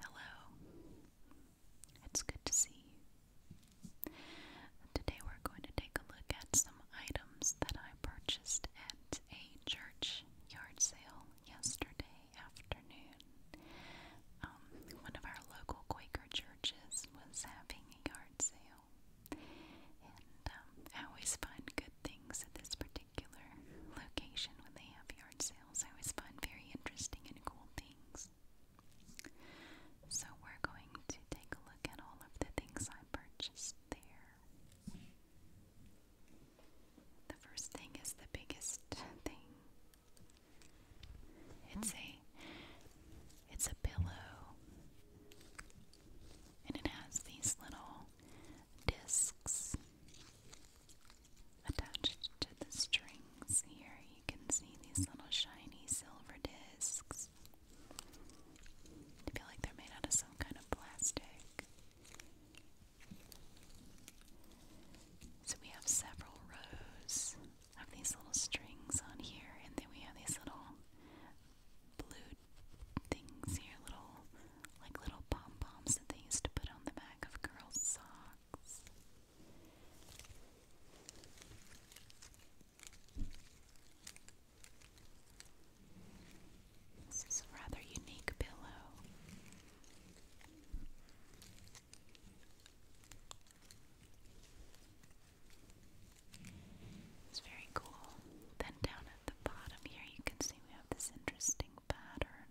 Hello. It's good to see you. Today we're going to take a look at some items that I purchased at a church yard sale yesterday afternoon. Um, one of our local Quaker churches was having a yard sale. And um, I always find good things things at this particular location when they have yard sales. I always find very interesting and cool things. So we're going to take a look at all of the things I purchased there. The first thing is the biggest thing. It's a it's a pillow. And it has these little discs Attached to the strings here, you can see these little shiny silver discs. I feel like they're made out of some kind of plastic. So we have several rows of these little strings on here, and then we have these little blue things here, little like little pom poms that they used to put on the back of girls' socks. This is a rather unique pillow. It's very cool. Then down the bottom here you can see we have this interesting pattern.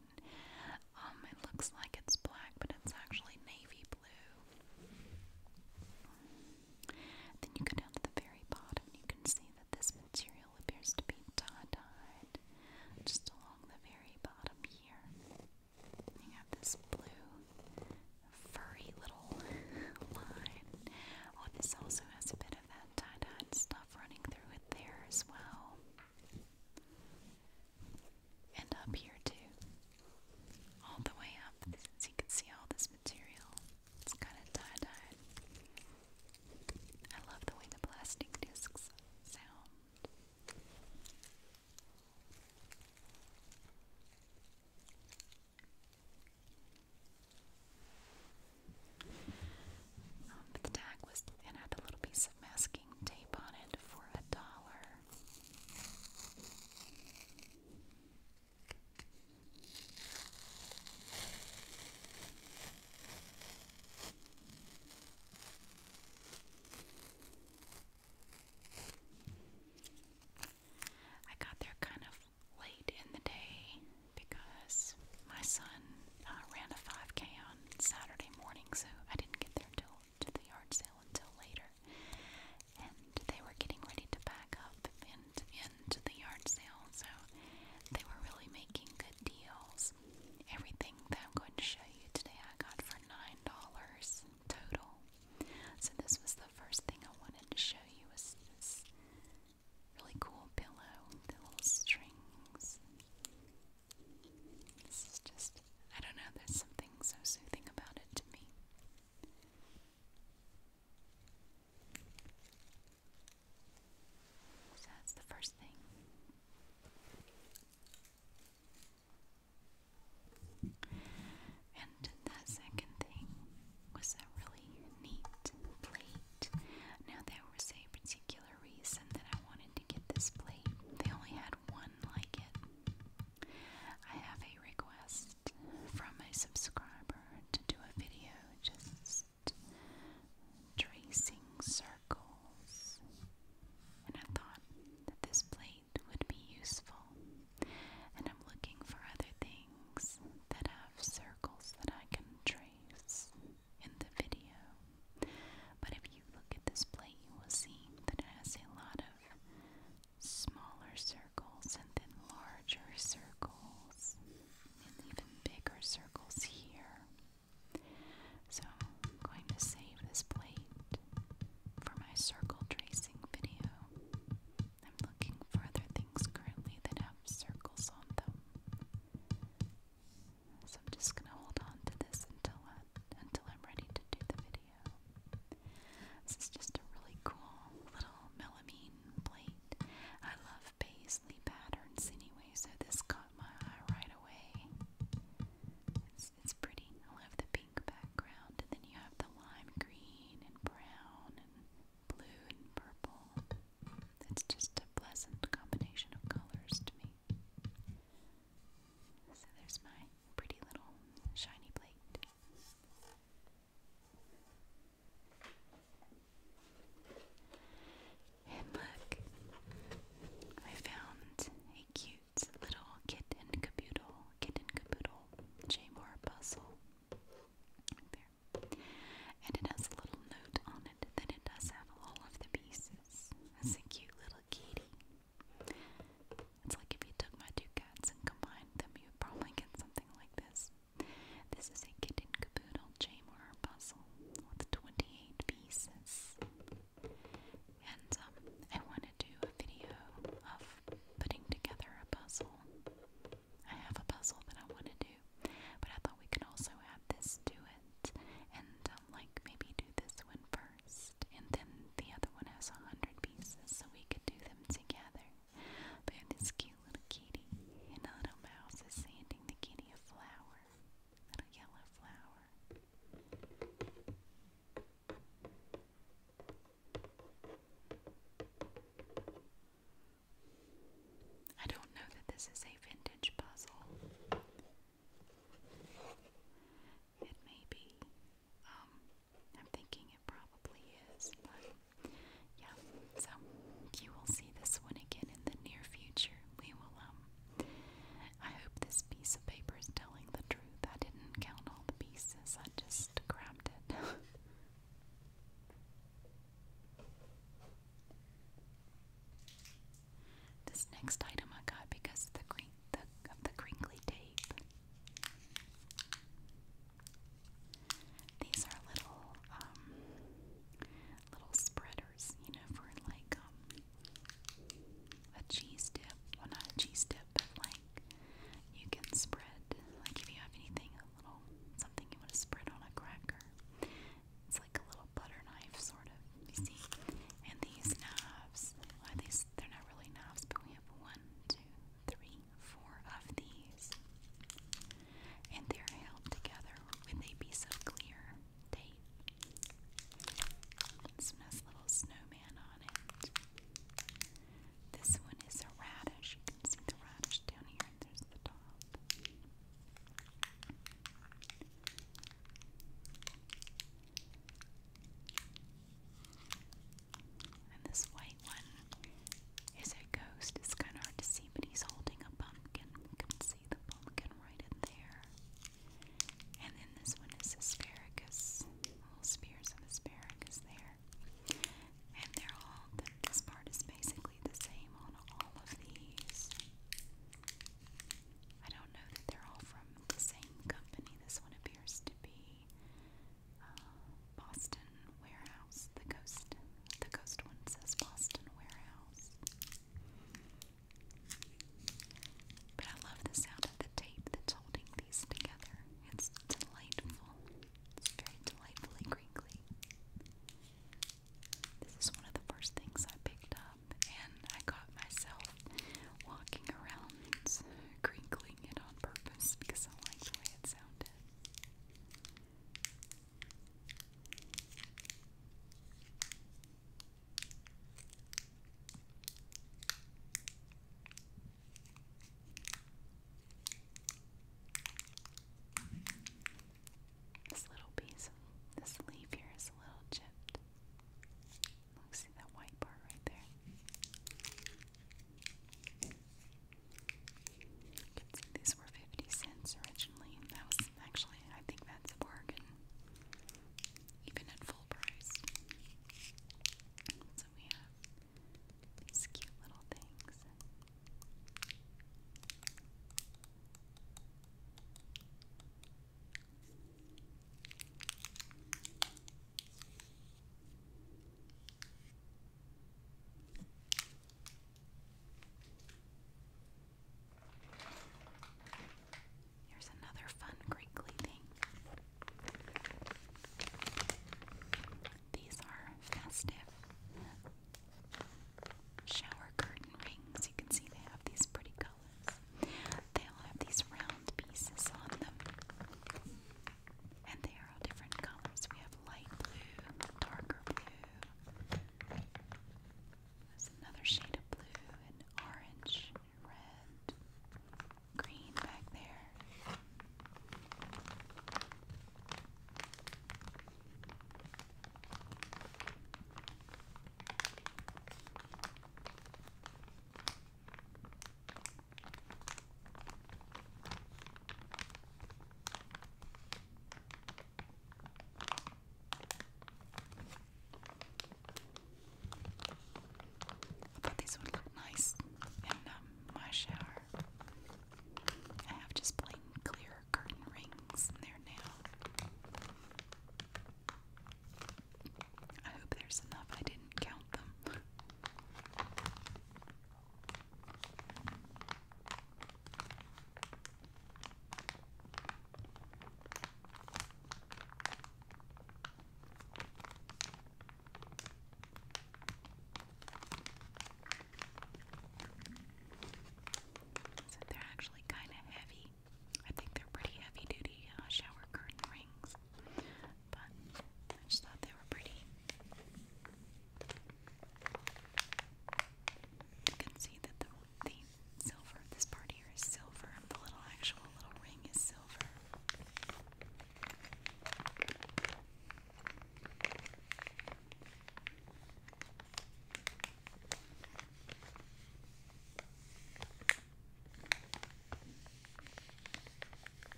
Um, it looks like it's black, but it's actually navy blue. Then you go down to the very bottom, you can see that this material appears to be dye-dyed just along the very bottom here. You have this blue, furry little line. Oh, this also has a bit bit of that tie-dyed stuff running through it there as well. And up here too. All the way up, as you can see all this material. It's kind of tie-dyed. I love the way the plastic discs sound. Um, but the tag was and had a little piece of masking tape on it for a dollar. I got there kind of late in the day because my son uh, ran a 5K on Saturday morning, so I didn't get there till to the yard sale until later. And they were getting ready to back up and into the yard sale, so they were really making good deals. Everything that I'm going to show you today I got for nine dollars total. So this was the first thing I wanted to show you was this Really cool pillow, the little strings. This is just, I don't know, there's something so soothing about it to me. that's the first thing. And the second thing was a really neat plate. Now, there was a particular reason that I wanted to get this plate. They only had one like it. I have a request from a subscriber to do a video just tracing circles, and I thought that this plate would be useful. And I'm looking for other things that have circles that I can trace in the video. But if you look at this plate, you will see that it has a lot of smaller circles and then larger circles and even bigger circles here. So I'm going to save this plate for my circle tracing video. I'm looking for other things currently that have circles on them. So I'm just gonna hold on to this until I, until I'm ready to do the video. This is just a really cool little melamine plate. I love paisley patterns anyway, so this caught my eye right away. It's it's pretty. I love the pink background, and then you have the lime green and brown blue and purple. It's just a pleasant combination of colors to me. So there's my pretty little shiny plate. And look, I found a cute little kit and caboodle, kit and puzzle. There together. And it has a little note on it that it does have all of the pieces. It's a cute little kitty. It's like if you took my two cats and combined them, you would probably get something like this. This is a kitten caboodle chamber puzzle with 28 pieces. And um, I want to do a video of putting together a puzzle I have a puzzle that I want to do, but I thought we could also add this to it and um, like maybe do this one first, and then the other one has a hundred pieces, so we could do them together. But this cute little kitty and a little mouse is sanding the kitty a flower, little yellow flower. I don't know that this is a vintage puzzle. It may be. Um, I'm thinking it probably is, but yeah. So you will see this one again in the near future. We will. Um, I hope this piece of paper is telling the truth. I didn't count all the pieces. I just grabbed it. This next item I got because of the, green, the, of the crinkly tape. These are little, um, little spreaders, you know, for like, um, a cheese dip. Well, not a cheese dip, but like, you can spread, like if you have anything, a little, something you want to spread on a cracker. It's like a little butter knife, sort of. You see? And these knives are these? They're not really knives, but we have one, two, three, four of these, and they're held together with a piece of clear tape. This one has little snowman on it. This one is a radish. You can see the radish down here. There's the top. And this white one is a ghost. It's kind of hard to see, but he's holding a pumpkin. You can see the pumpkin right in there. And then this one is asparagus. Little spears of asparagus there. And they're all, this part is basically the same on all of these. I don't know that they're all from the same company. This one appears to be uh, Boston Warehouse. The Coast, the Coast one says Boston Warehouse. But I love the sound of the tape that's holding these together. It's delightful. It's very delightfully crinkly. This is one of the first things I picked up, and I got myself walking around crinkling it on purpose because I liked the way it sounded. This little piece, this leaf here is a little chipped. Look, see that white part right there? You can see these were 50 cents originally. That was actually, I think that's a bargain, even at full price. So we have these cute little things. Here's another fun crinkly thing. These are festive shower curtain rings. You can see they have these pretty colors. They all have these round pieces on them. And they are all different colors. We have light blue, darker blue. There's another shade of blue and orange and red. Green back there. I thought these would look nice in um, my shower. I have just plain clear curtain rings in there now. I hope there's enough. I didn't count them. So they're actually kind of heavy. I think they're pretty heavy duty uh, shower curtain rings, but I just thought they were pretty. You can see that the, the silver, this part here is silver, the little actual little ring is silver.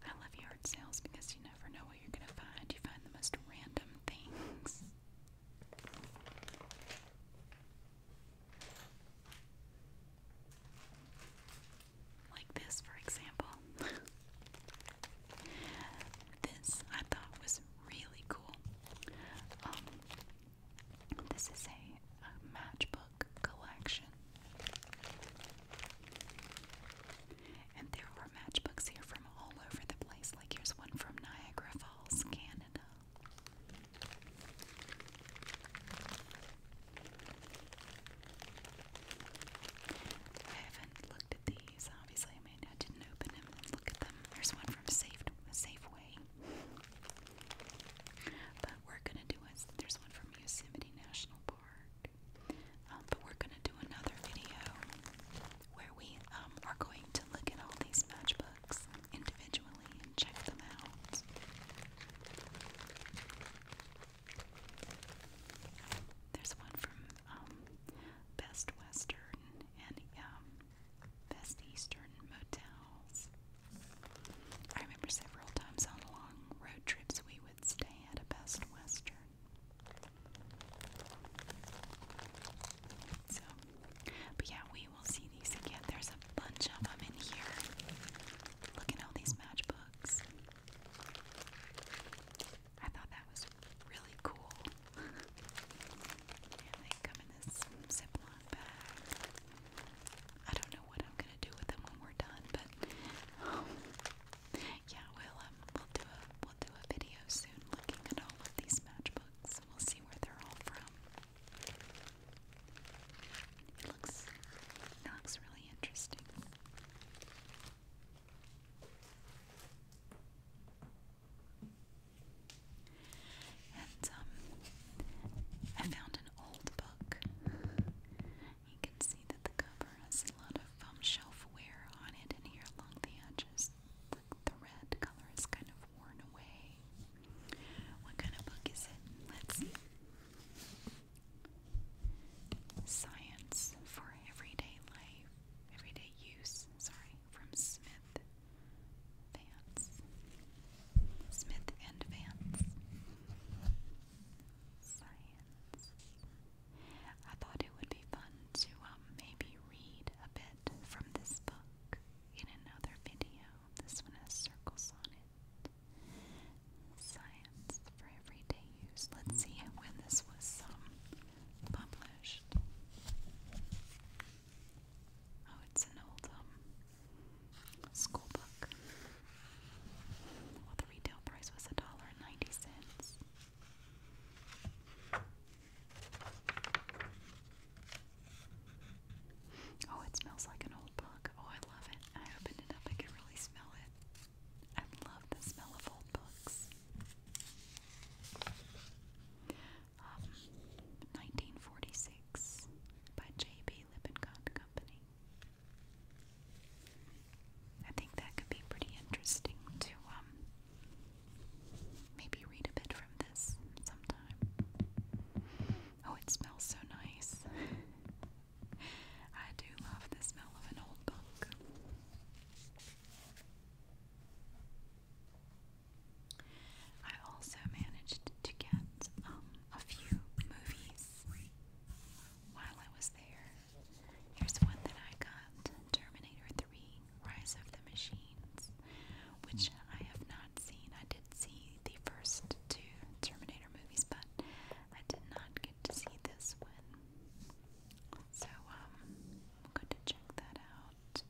I love yard sales because you never know what you're going to find. You find the most random things. Like this, for example. this I thought was really cool. Um, this is a, a matchbook collection. And there are matchbooks here from all over the place. Like here's one from Niagara Falls, Canada. I haven't looked at these, obviously. I mean, I didn't open them look at them. There's one from Safe Safeway. But we're gonna do a, there's one from Yosemite National Park. Um, but we're gonna do another video where we um, are going to look at all these matchbooks individually and check them out. There's one from um, Best Western and um, Best Eastern Motels. I remember several times on long road trips we would stay at a Best Western. So but yeah, we will see these again. There's a bunch of them in here. Look at all these matchbooks. I thought that was really cool. and they come in this Ziploc bag. I don't know what I'm gonna do with them when we're done, but um, yeah, we um, we'll do a we'll do a video soon looking at all of these matchbooks. We'll see where they're all from. It looks it looks really interesting. And um, I found an old book. You can see that the cover has a lot of um, shelf wear on it and here along the edges it's like the red color is kind of worn away. What kind of book is it? Let's see. Science for Everyday Life, Everyday Use, sorry, from Smith Vance. Smith and Vance. Science. I thought it would be fun to um, maybe read a bit from this book in another video. This one has circles on it. Science for everyday use. Let's see when this was um, published. Oh, it's an old um, Well, the retail price was a dollar ninety cents. Oh, it smells like an old book. Oh, I love it. I opened it up, I could really smell it. I love the smell of old books. 1946 um, by J.B. Lippincott Company. I think that could be pretty interesting to um, Maybe read a bit from this sometime. Oh, it smells so nice. I do love the smell of an old book. I also managed to get um, a few movies while I was there. Here's one that I got Terminator Rise of the Machines, which I have not seen. I did see the first two Terminator movies, but I did not get to see this one. So, um, I'm going to check that out.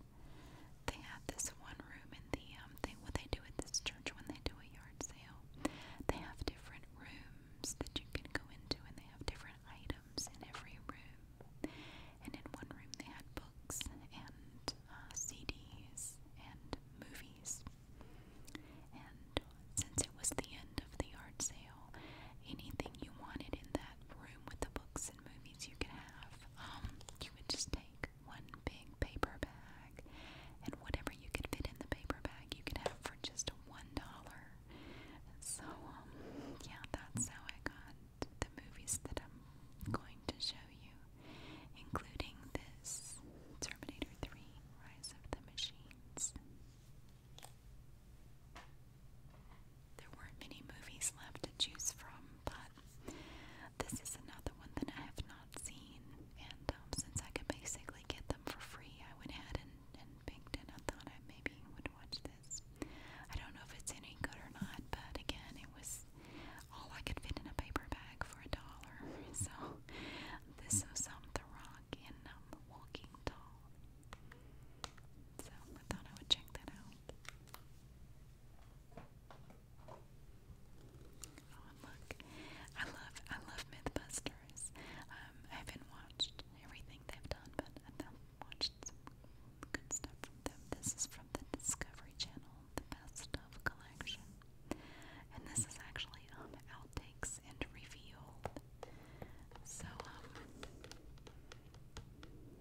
They have this one room in the, um, what they do at this church when they do a yard sale, they have different rooms that you can go into and they have different items in every room. And in one room, they had books and uh, CDs and movies. And since it was the end of the yard sale, anything you wanted in that room with the books and movies you could have, um, you would just take one big paper bag, and whatever you could fit in the paper bag, you could have for just one dollar. So, um, yeah, that's how I got the movies that I'm going to show you, including this Terminator 3 Rise of the Machines. There weren't many movies left to choose from, but this is another one that I have not seen. And um, since I could basically get them for free, I went ahead and, and picked it. I thought I maybe would watch this this. I don't know if it's any good or not, but again, it was all I could fit in a paper bag for a dollar. So this was The Rock in um, Walking Tall. So I thought I would check that out. Oh, look, I love I love MythBusters. Um, I haven't watched everything they've done, but watched some good stuff from them. This is from the Discovery Channel, the Best of Collection. And this is actually um outtakes and revealed. So um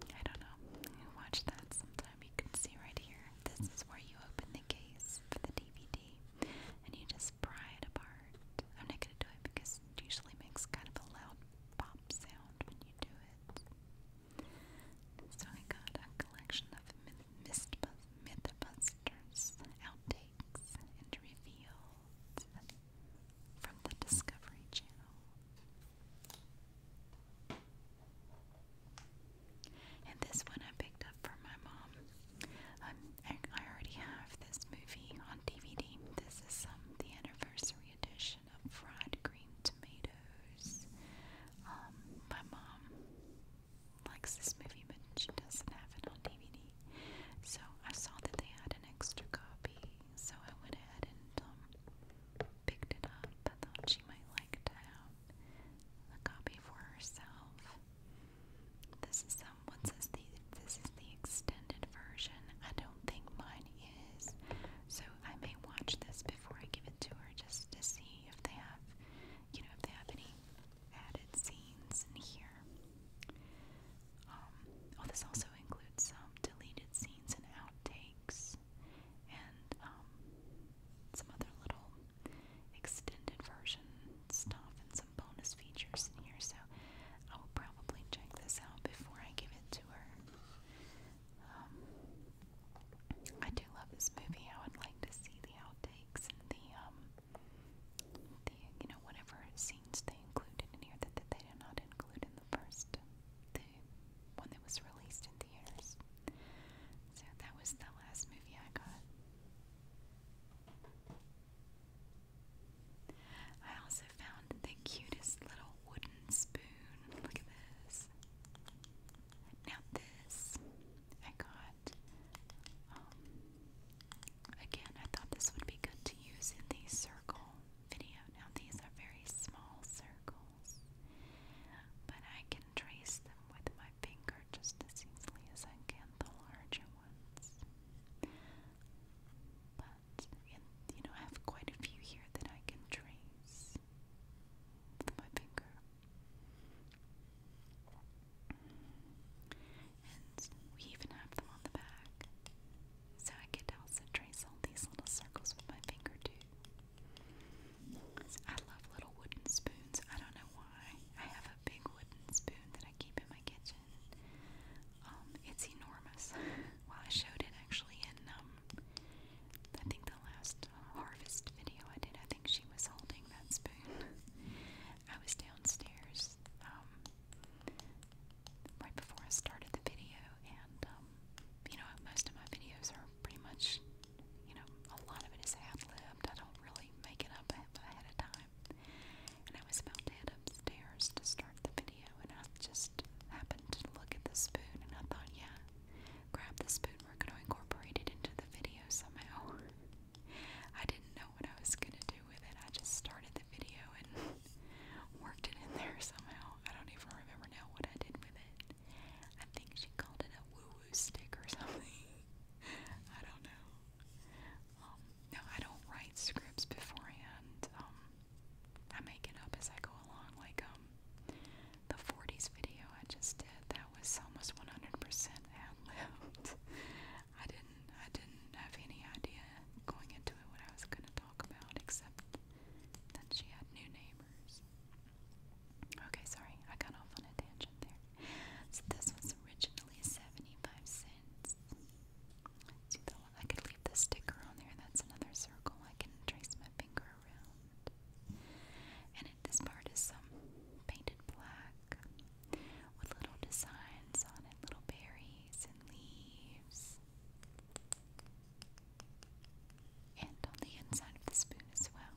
I don't know. You watch that sometime you can see right here. This is where you open the case for the DVD and you just pry it apart. I'm not gonna do it because it usually makes kind of a loud pop sound when you do it. So I got a collection of Mythbusters outtakes and reveals from the Discovery Channel. And this one I picked up for my mom. Um, I already have this movie on DVD. This is um, the anniversary edition version of fried green tomatoes. Um, my mom likes this movie, but she doesn't have it on DVD. So I saw that they had an extra copy, so I went ahead and um, picked it up. I thought she might like to have a copy for herself. This is um, what says the this is the extended version. I don't think mine is, so I may watch this before I give it to her just to see if they have, you know, if they have any added scenes in here. Um, oh, this also includes some deleted scenes and outtakes, and um, some other little extended version stuff and some bonus features in here. So I will probably check this out before I give it to her. Um, I do love this movie. I would like to see the outtakes and the um, the you know whatever scenes they included in here that, that they did not include in the first, the one that was released in theaters. So that was the last movie I got. I also found the cutest little wooden spoon Look at this. Now this I got. Um, again, I thought this would be good to use in the circle video. Now these are very small circles, but I can trace them with my finger just as easily as I can the larger ones you know, I have quite a few here that I can trace with my finger. we even have them on the back. So I get also trace all these little circles with my finger, too. I love little wooden spoons. I don't know why. I have a big wooden spoon that I keep in my kitchen. Um, it's enormous. well, I showed it actually in um, I think the last harvest video I did, I think she was holding that spoon. I was downstairs um, right before I started the video, and um, you know, most of my videos are pretty much, you know, a lot of it is ad libbed. I don't really make it up ahead of time. And I was about to head upstairs to start the and I just happened to look at the spoon and I thought, yeah, grab the spoon, we're going to incorporate it into the video somehow. I didn't know what I was going to do with it. I just started the video and worked it in there somehow. I don't even remember now what I did with it. I think she called it a woo-woo stick or something. I don't know. Um, no, I don't write scripts beforehand. Um, I make it up as I go along, like um the 40s video I just did. That was almost 100% ad-libbed. I didn't, I didn't have any idea going into it what I was going to talk about, except that she had new neighbors. Okay, sorry, I got off on a tangent there. So this was originally 75 cents. I could leave the sticker on there. That's another circle. I can trace my finger around. And this part is some painted black with little designs on it, little berries and leaves. And on the inside of the spoon as well.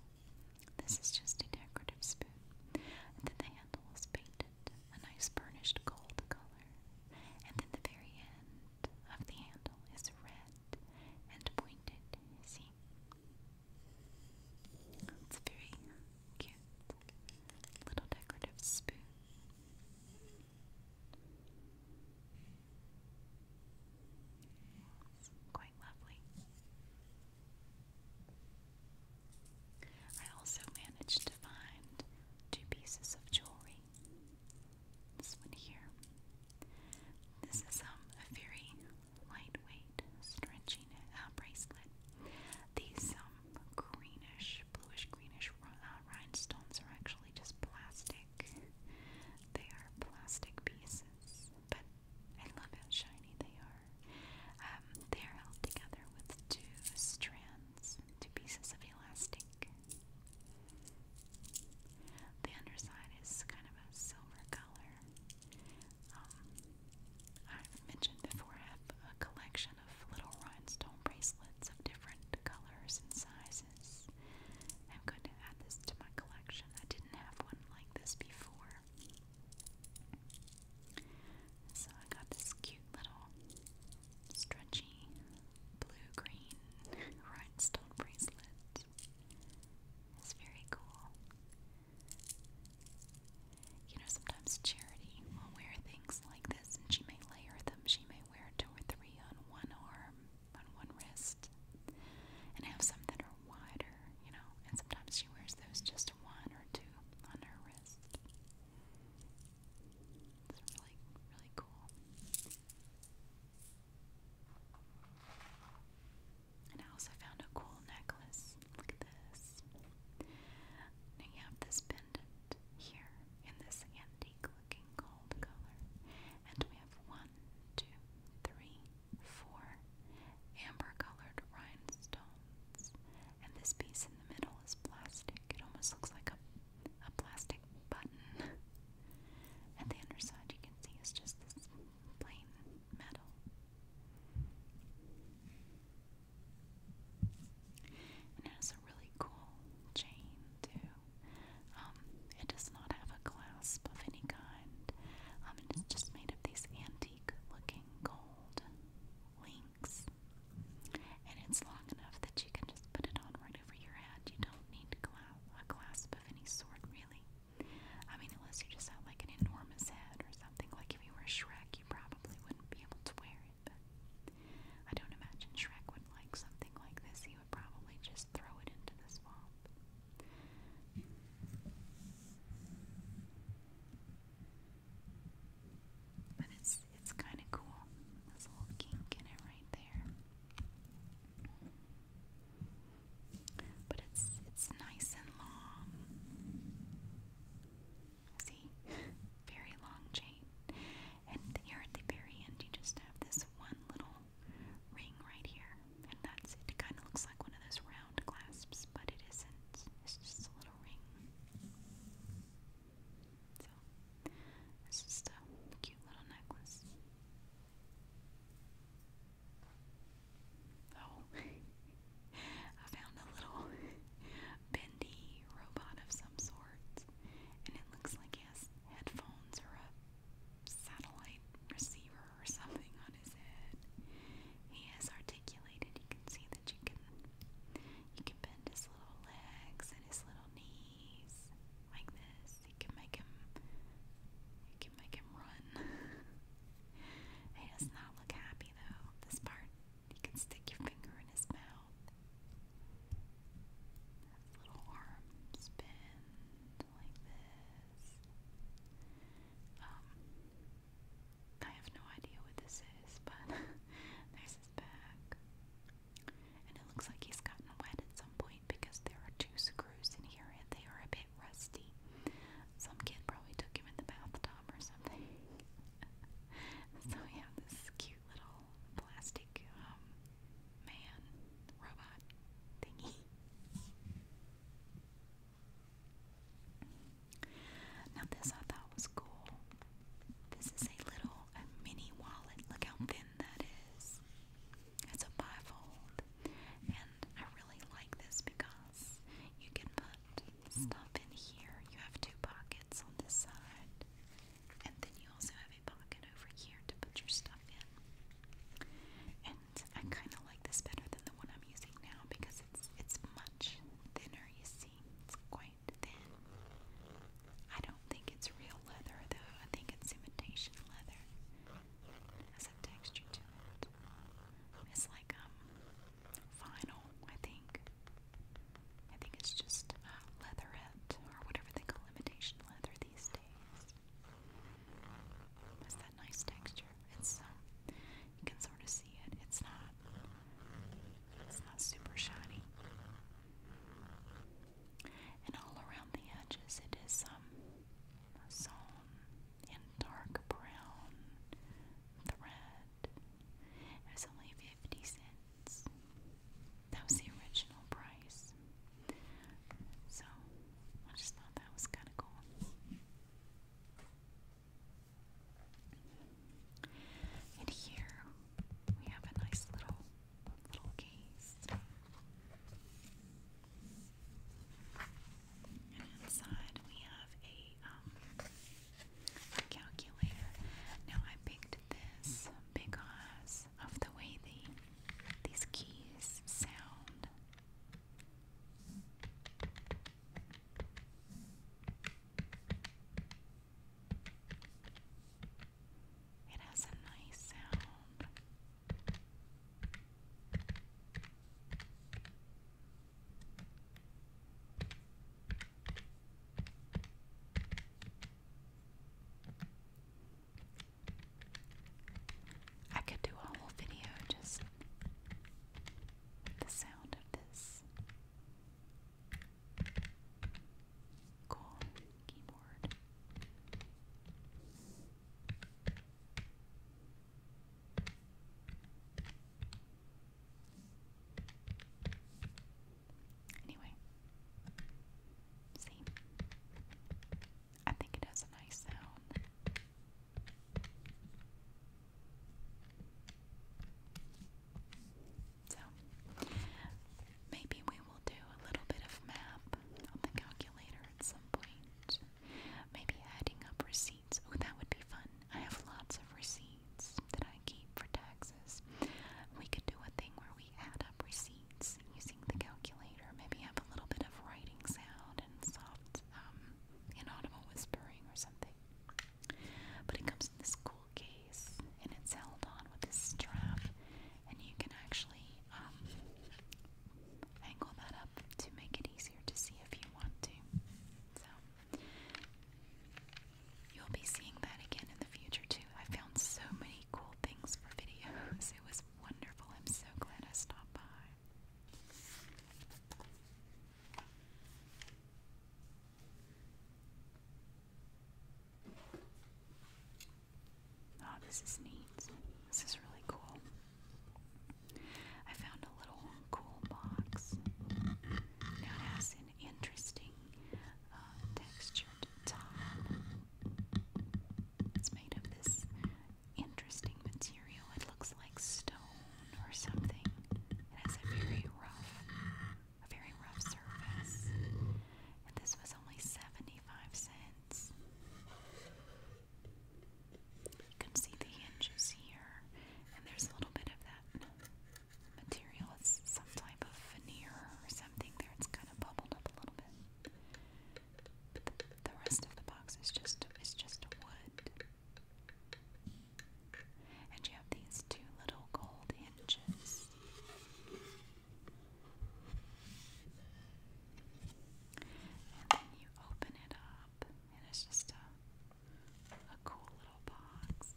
This is just a decorative spoon. And then the handle is painted a nice burnished gold color. And then the very end of the handle is red and pointed. See? It's a very cute little decorative spoon. It's quite lovely. I also managed to find two pieces of jewelry this is um, a very lightweight stretching uh, bracelet. These um, greenish, bluish greenish uh, rhinestones are actually just plastic. They are plastic pieces, but I love how shiny they are. Um, they are held together with two strands, two pieces of elastic. The underside is kind of a silver color. Um, i mentioned before I have a collection of little rhinestone bracelets of different colors and sizes. I'm going to add this to my collection. I didn't have one like this before. So I got this cute little stretchy blue green rhinestone bracelet. It's very cool. You know, sometimes Charity will wear things like this and she may layer them. She may wear two or three on one arm, on one wrist, and have some that are wider, you know. And sometimes she wears those just one or two on her wrist. It's really, really cool. And I also found a cool necklace. Look at this. Now have this pendant here in this antique looking gold color. And we have one, two, three, four amber colored rhinestones. And this piece in the middle is plastic. It almost looks like a a plastic button. At the underside, you can see it's just this plain metal. And it has a really cool chain, too. Um, it does not have a clasp of any kind, um, it's just made of these antique looking gold links. And it's long enough that you can just put it on right over your head. You don't need to go out a clasp of any sort, really. I mean, unless you just have like an enormous head or something. Like if you were Shrek, you probably wouldn't be able to wear it. But I don't imagine Shrek would like something like this. He would probably just throw it into the swamp it's kind of cool. This little kink in it right there. But it's it's nice and long. See, very long chain. And here at the very end, you just have this one little ring right here, and that's It kind of looks like one of those round clasps, but it isn't. It's just a little ring. So, it's a cute little necklace. Oh, I found a little bendy robot of some sort, and it looks like he has headphones or a satellite receiver or something on his head. He is articulated. You can see that you can you can bend his little legs and his little knees knees like this. It can make him it can make him run. he does not look happy though. This part you can stick your finger in his mouth. little arm spin like this. Um I have no idea what this is, but there's his back. And it looks like he's gotten wet at some point because there are two screws in here and they are a bit rusty. Some kid probably took him in the bathtub or something. so we have this cute little plastic um, man robot thingy. Now this I thought was cool. This is a little a mini wallet. Look how thin that is. It's a bifold. And I really like this because you can put stuff in here. You have two pockets on this side. And then you also have a pocket over here to put your stuff in. And I kind of like this better than the one I'm using now because it's it's much thinner, you see. It's quite I don't think it's real leather though, I think it's imitation leather. has a texture to it. It's like um, vinyl, I think. I think it's just uh, leatherette or whatever they imitation leather these days. It's that nice texture. It's um, you can sort of see it. It's not. It's not super shiny. And all around the edges, it is um, sewn in dark brown thread. It was only 50 cents. That was the original price. So, I just thought that was kind of cool. And here we have a nice little little case. inside we have um, a calculator. Now I picked this because of the way the, these keys sound. It has a nice sound. I could do a whole video just with the sound of this. Cool keyboard. Anyway, see, I think it has a nice sound. So maybe we will do a little bit of map on the calculator at some point. Maybe adding up receipts. Oh, that would be fun. I have lots of receipts that I keep for taxes. We could do a thing where we add up receipts using the calculator. Maybe have a little bit of writing sound and soft um, inaudible whispering or something. But it comes in this cool case and it's held on with this strap and you can actually um, angle that up to make it easier to see if you want to. So you'll be seeing that again in the future too. I found so many cool things for videos. It was wonderful. I'm so glad I stopped by. Oh, this is neat. This is really cool. I found a little cool box. it has an interesting uh, textured top. It's made of this interesting material. It looks like stone or something. It has a very rough a very rough surface, and this was only 75 cents. You can see the hinges here, and there's a little bit of that material. It's some type of veneer or something there. It's kind of bubbled up a little bit. But the, the rest of the box is just is just wood. And you have these two little gold hinges. And then you open it up, and it's just a, a cool little box.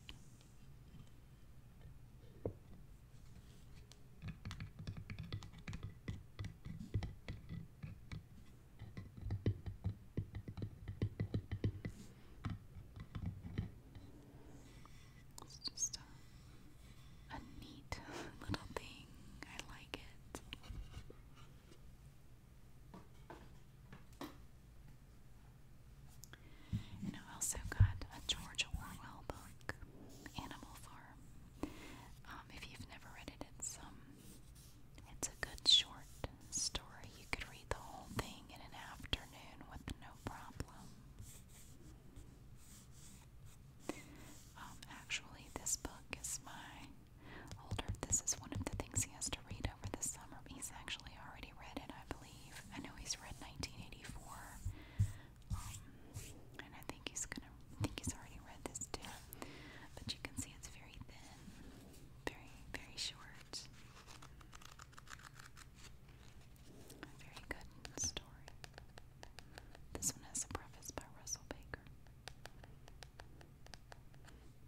It's just a, neat little thing. I like it. And I also got a George Orwell book, Animal Farm. Um, if you've never read it, it's um, it's a good short story. You could read the whole thing in an afternoon with no problem. Um, actually, this book is my older. This is one of the things he has to read over the summer. He's actually already read it, I believe. I know he's read 1984, um, and I think he's gonna. I think he's already read this too. But you can see it's very thin, very very short. Very good story. This one has a preface by Russell Baker.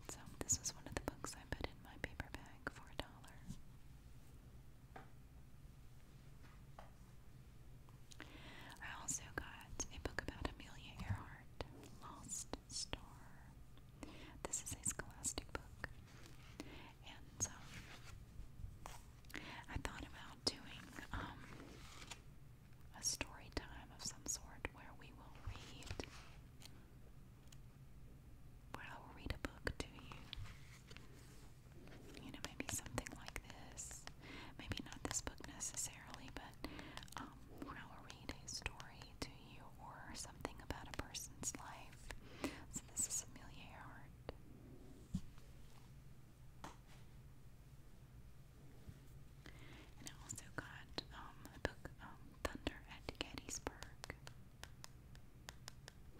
So, this was one of the books I put in my paper bag for a dollar. I also got a book about Amelia Earhart, Lost Star. This is a scholastic book and so I thought about doing um, a story time of some sort where we will read, where I will read a book to you. You know, maybe something like this. Maybe not this book necessarily, but um, where I will read a story to you or something about a person's life, this is Amelia Earhart. And I also got um, a book, um, Thunder at Gettysburg.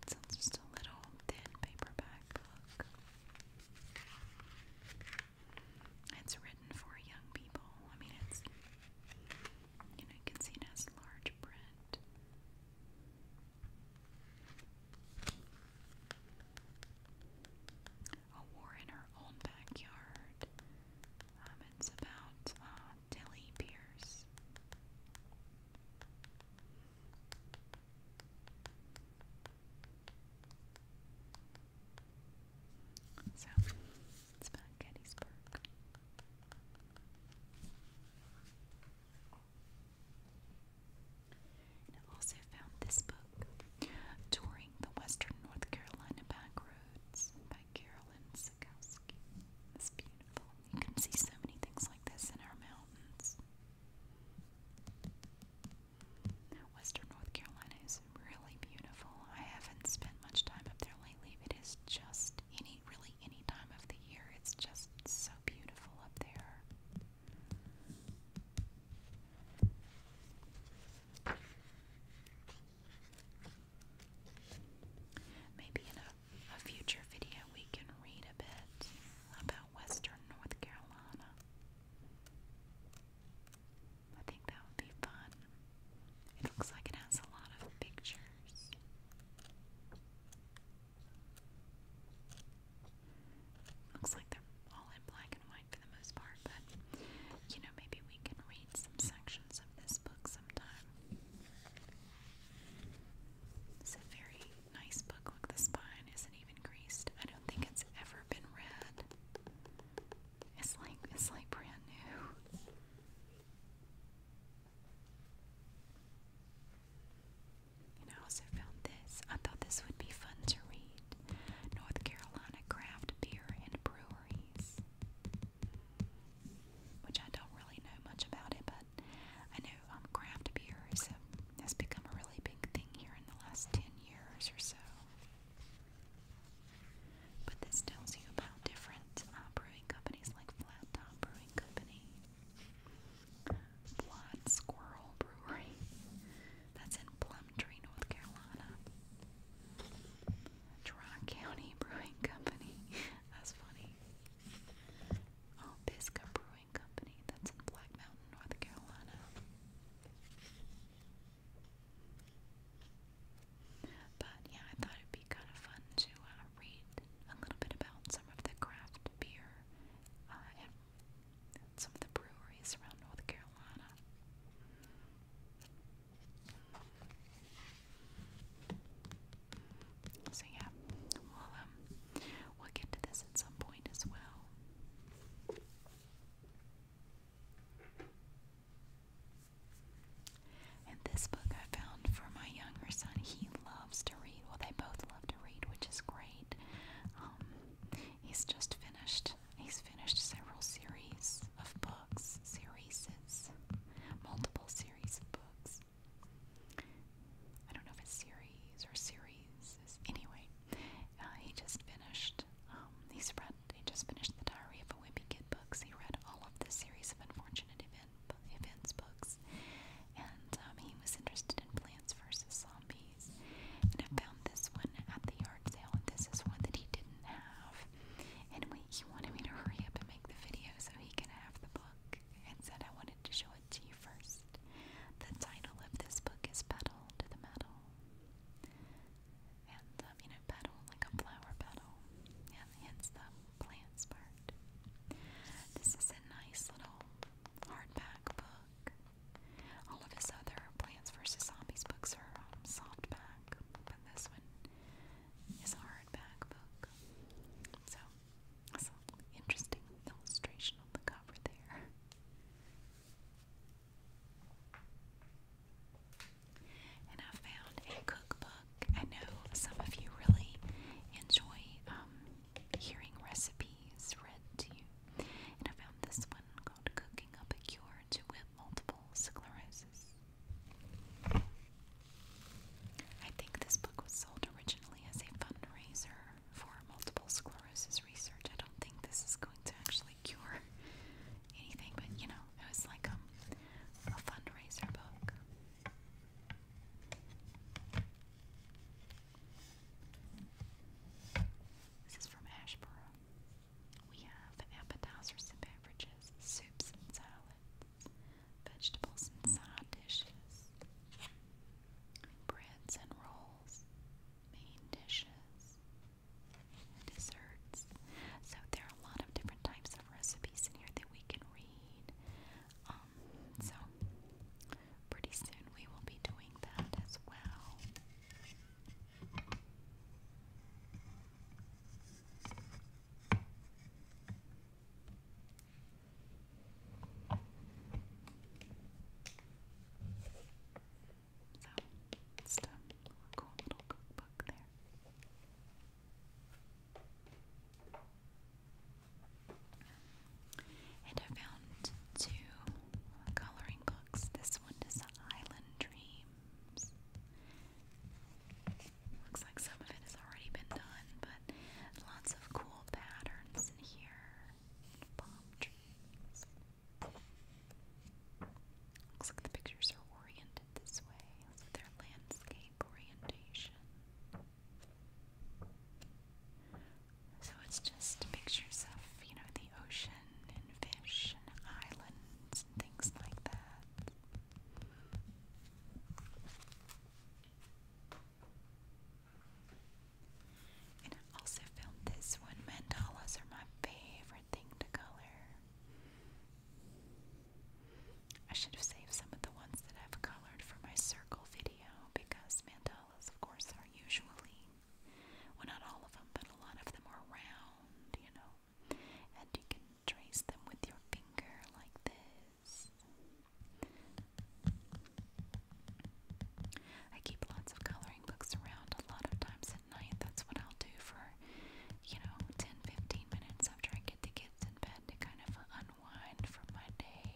So it's just a little thin paperback book. It's written for young people. I mean, it's, you know, you can see it large print. A war in her own backyard. Um, it's about uh, Pierce. So it's about Gettysburg. And I also found this book, Touring the Western North Carolina Back by Carolyn Sikowski. It's beautiful. You can see so many things like this in our mountains. Western North Carolina is really beautiful. I haven't spent much time up there lately. It is just any really any time of the year. It's just so beautiful up there. Maybe in a future video we can read a bit about Western North Carolina. I think that would be fun. It looks like it has a lot of pictures. Looks like they're all in black and white for the most part, but you know, maybe we can read some sections of this book sometime. It's a very nice book. Look, the spine isn't even greased. I don't think it's ever been read. It's like it's like brand new. And I also found this. I thought this would be fun to read. North Carolina Craft Beer and Breweries. Which I don't really know much about it, but I know um, craft beer is has become a really big thing here in the last 10 years or so. But this tells you about different uh, brewing companies like Flat Top Brewing Company. Blood Squirrel Brewery. That's in Plumtree, North Carolina. Dry County Brewing Company. That's funny. Oh, Pisgah Brewing Company. That's in Black Mountain, North Carolina. But yeah, I thought it'd be kind of fun to uh, read a little bit about some of the craft beer uh, and some of the breweries around North Carolina. So yeah, we'll um, we'll get to this at some point as well. And this book I found for my younger son. He loves to read. Well, they both love to read, which is great. Um, he's just finished. He's finished several series of books, serieses, multiple series of books. I don't know if it's series or serieses. Anyway, uh, he just finished. Um, he's read. He just finished the Diary of a Wimpy Kid books. He read all of the series of unfortunate events event, events books, and um, he was interested in Plants vs. Zombies. And I found this one at the yard sale, and this is one that he didn't have. And we, he wanted me to hurry up and make the video so he could have the book, and said I wanted to show it to you first. The title of this book is Petal to the Metal. And, um, you know, petal, like a flower petal. And hence the plants part. This is a nice little hardback book. All of his other Plants vs. Zombies books are um, softback, but this one is a hardback book. So, that's an interesting illustration on the cover there. And I found a cookbook I know some of you really enjoy um, hearing recipes read to you, and I found this one called Cooking Up a Cure to Whip Multiple Sclerosis. I think this book was sold originally as a fundraiser for multiple sclerosis research. I don't think this is going to actually cure anything, but you know, it was like um, a fundraiser book. This is from Ashboro. We have appetizers and beverages, soups and salads, vegetables and side dishes, breads and rolls, main dishes, desserts. So there are a lot of different types recipes in here that we can read. Um, so pretty soon we will be doing that as well. So, cool little cookbook there. And I found two coloring books. This one is Island Dreams. Looks like some of it has already been done, but lots of cool patterns in here. Palm trees. Looks like the pictures are orient this way, so landscape orientation. So it's just pictures of, you know, the ocean and fish and islands and things like that. And I also filmed this one. Mandalas are my favorite thing to color. I should have saved some of the ones that I've colored for my circle video because mandalas, of course, are usually, well, not all of them, but a lot of them are round, you know, and you can trace them with your finger like this. I keep lots of coloring books around a lot of times at night. That's what I'll do for, you know, 10 minutes after I get the kids kids in bed to kind of unwind from my day.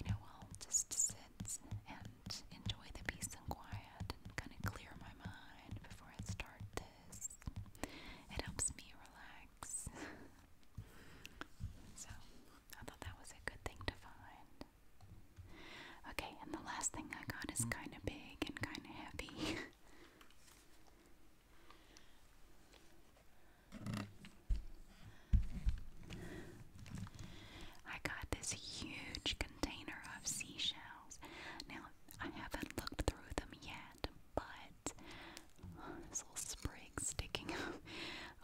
You know, i just sit and enjoy the peace and quiet and kind of clear my mind before I start this. It helps me relax. so, I thought that was a good thing to find. Okay, and the last thing I got is kind of big and kind of heavy. I got this huge container of seashells. Now, I haven't looked through them yet, but this little sprig sticking up.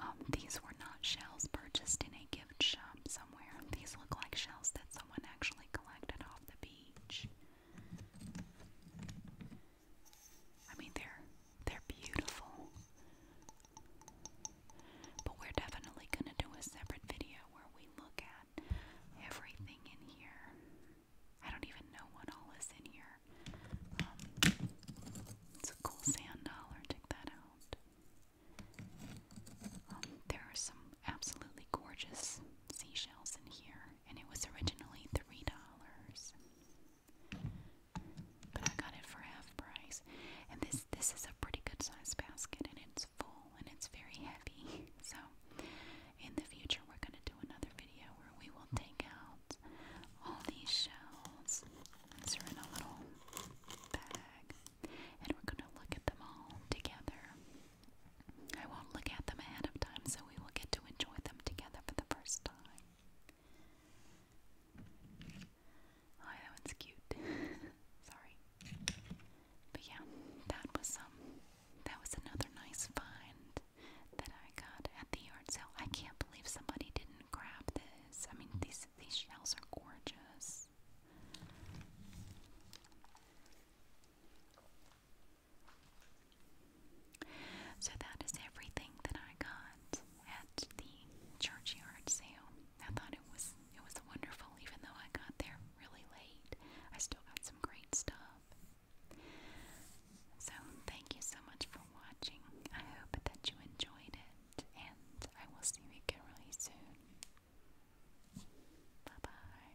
Um, these were not shells purchased in a gift shop somewhere. These look like shells that someone actually collected off the beach. I mean, they're they're beautiful. But we're definitely gonna do a separate video where we look at everything in here. I don't even know what all is in here. Um, cool sand dollar. Take that out. Um, there are some absolutely gorgeous seashells in here and it was originally three dollars. But I got it for half price. And this this is a pretty good size basket and it's full and it's very heavy. So in the future we're gonna do another video where we will take out all these shells. These are in a little bag and we're gonna look at them all together. I won't look at them ahead of time, so we will get to enjoy them together for the first time. Oh, that one's cute. Sorry. But yeah, that was um that was another nice find that I got at the yard sale. I can't believe somebody didn't grab this. I mean these these shells are gorgeous. So that is everything that I got at the churchyard sale. I thought it was it was wonderful, even though I got there really late. I still got some great stuff. So thank you so much for watching. I hope that you enjoyed it, and I will see you again really soon. Bye bye.